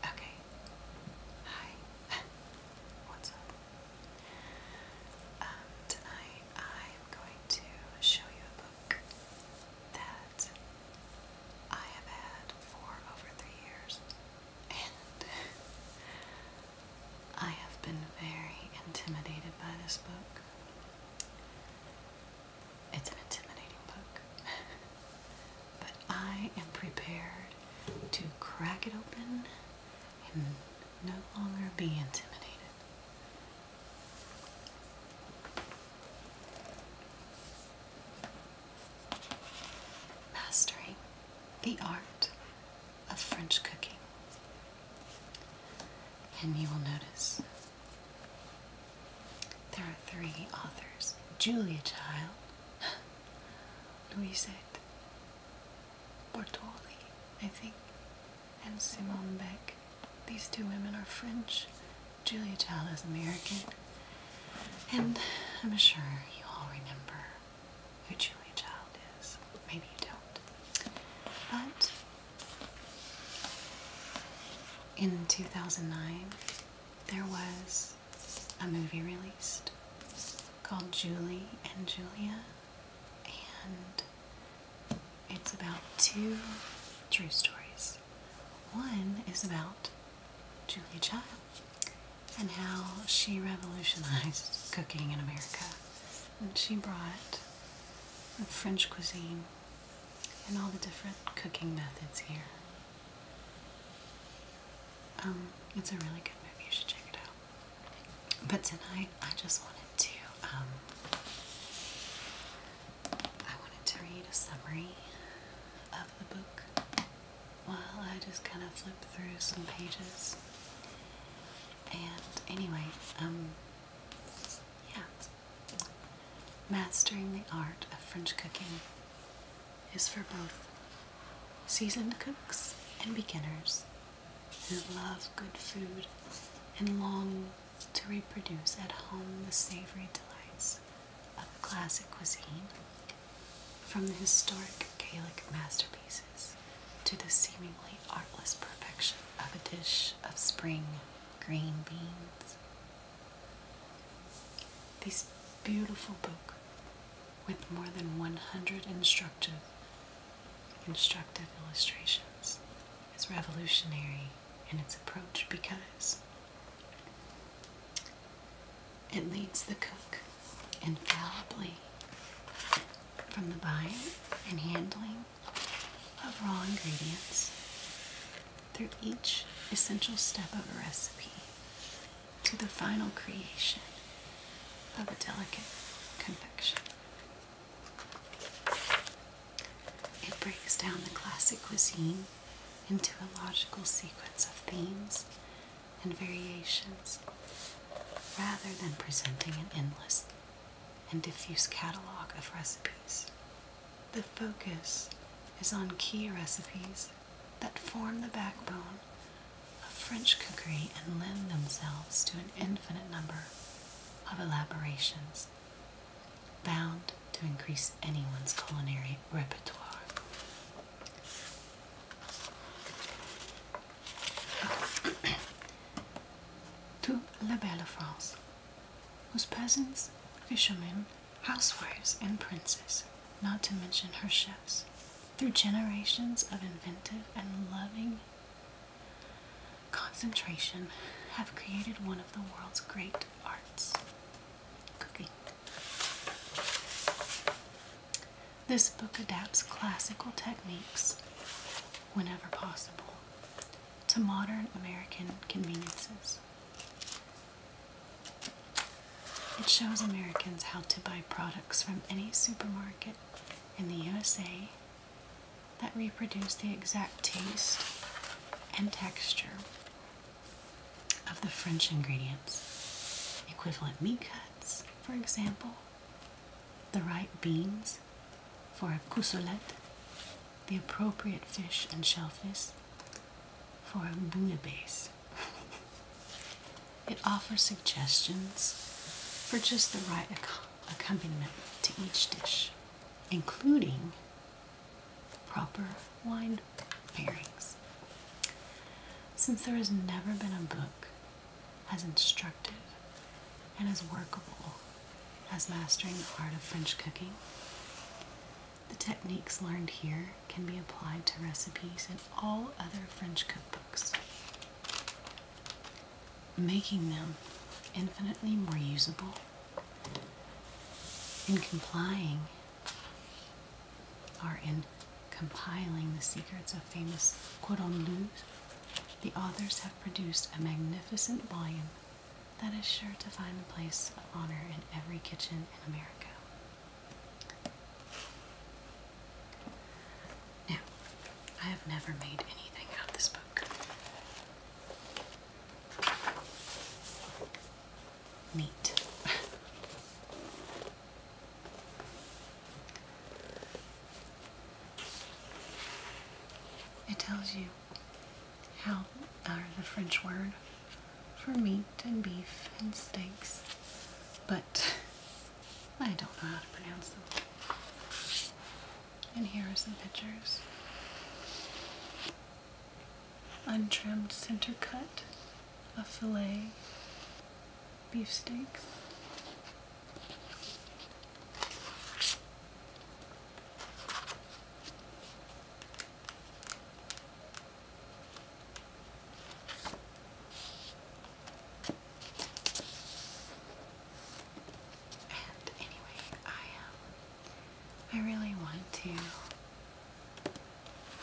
Okay. Hi. What's up? Um, tonight I'm going to show you a book that I have had for over three years. And I have been very intimidated by this book. It's an intimidating book. but I am prepared to crack it open and no longer be intimidated. Mastering the Art of French Cooking. And you will notice there are three authors Julia Child, Louisette Bortoli, I think, and Simone Beck. These two women are French. Julia Child is American. And I'm sure you all remember who Julia Child is. Maybe you don't. But in 2009, there was a movie released called Julie and Julia, and it's about two true stories. One is about Julie Child and how she revolutionized cooking in America. And she brought French cuisine and all the different cooking methods here. Um, it's a really good movie. You should check it out. But tonight, I just wanted to, um, I wanted to read a summary of the book while I just kind of flip through some pages. And anyway, um, yeah. Mastering the art of French cooking is for both seasoned cooks and beginners who love good food and long to reproduce at home the savory delights of classic cuisine, from the historic Gaelic masterpieces to the seemingly artless perfection of a dish of spring green beans. This beautiful book with more than 100 instructive instructive illustrations is revolutionary in its approach because it leads the cook infallibly from the buying and handling of raw ingredients through each essential step of a recipe to the final creation of a delicate confection. It breaks down the classic cuisine into a logical sequence of themes and variations rather than presenting an endless and diffuse catalog of recipes. The focus is on key recipes that form the backbone of French cookery and lend themselves to an infinite number of elaborations, bound to increase anyone's culinary repertoire to La Belle France, whose peasants, fishermen, housewives, and princes, not to mention her chefs, through generations of inventive and loving concentration, have created one of the world's great arts cooking. This book adapts classical techniques whenever possible to modern American conveniences. It shows Americans how to buy products from any supermarket in the USA that reproduce the exact taste and texture of the French ingredients. Equivalent meat cuts, for example, the right beans for a coussolette, the appropriate fish and shellfish for a bouillabaisse. it offers suggestions for just the right accompaniment to each dish, including proper wine pairings. Since there has never been a book as instructive, and as workable as mastering the art of French cooking. The techniques learned here can be applied to recipes in all other French cookbooks, making them infinitely more usable in complying or in compiling the secrets of famous cordon the authors have produced a magnificent volume that is sure to find a place of honor in every kitchen in America. Now, I have never made anything out of this book. Neat. It tells you how are the French word for meat and beef and steaks, but I don't know how to pronounce them. And here are some pictures. Untrimmed center cut, a fillet, Beefsteaks. And anyway, I um, I really want to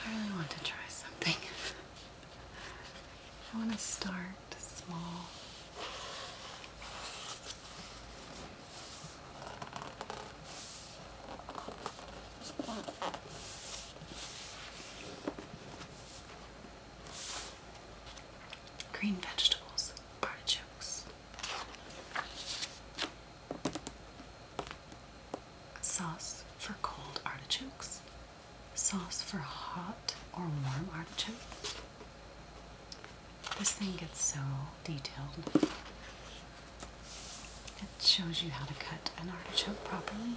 I really want to try something. I want to start small. Green vegetables, artichokes sauce for cold artichokes, sauce for hot or warm artichokes. This thing gets so detailed. It shows you how to cut an artichoke properly.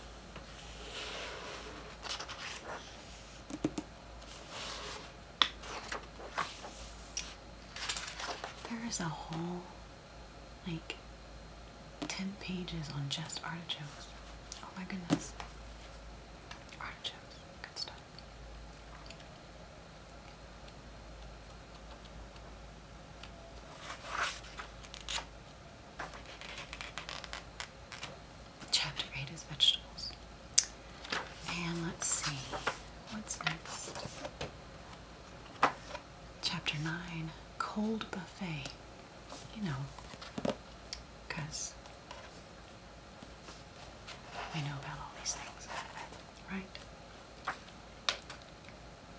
There is a hole like 10 pages on just artichokes. Oh my goodness. Artichokes. Good stuff. Chapter 8 is vegetables. And let's see, what's next? Chapter 9 Cold Buffet. You know, because know about all these things, right?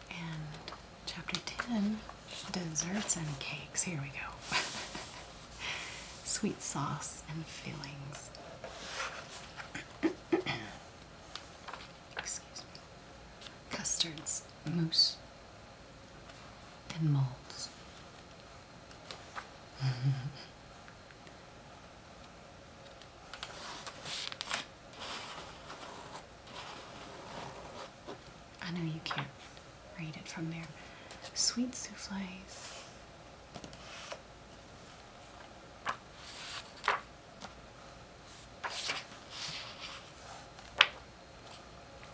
And Chapter 10 Desserts and Cakes. Here we go. Sweet sauce and fillings. custards, mousse, and molds. I know you can't read it from there. Sweet souffles.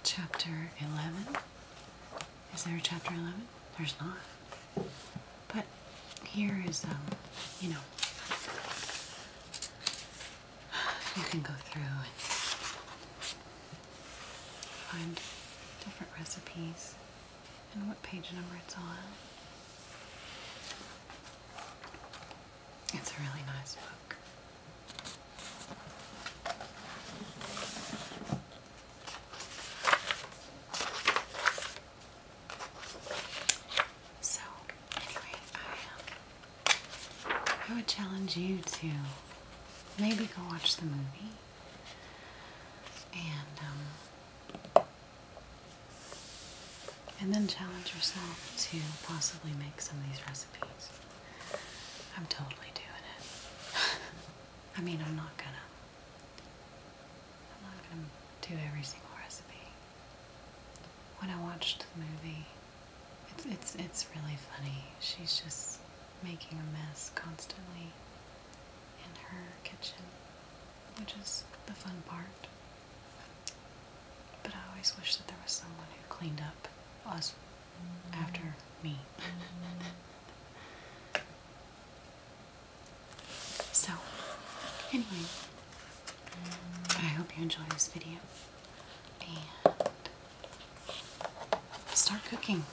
Chapter 11? Is there a chapter 11? There's not. But here is, um, you know, you can go through and find different recipes and what page number it's on. It's a really nice book. So, anyway, um, I, would challenge you to maybe go watch the movie and um, and then challenge yourself to possibly make some of these recipes. I'm totally doing it. I mean, I'm not gonna. I'm not gonna do every single recipe. When I watched the movie, it's it's it's really funny. She's just making a mess constantly in her kitchen which is the fun part. But I always wish that there was someone who cleaned up us after me. so, anyway, I hope you enjoy this video and start cooking.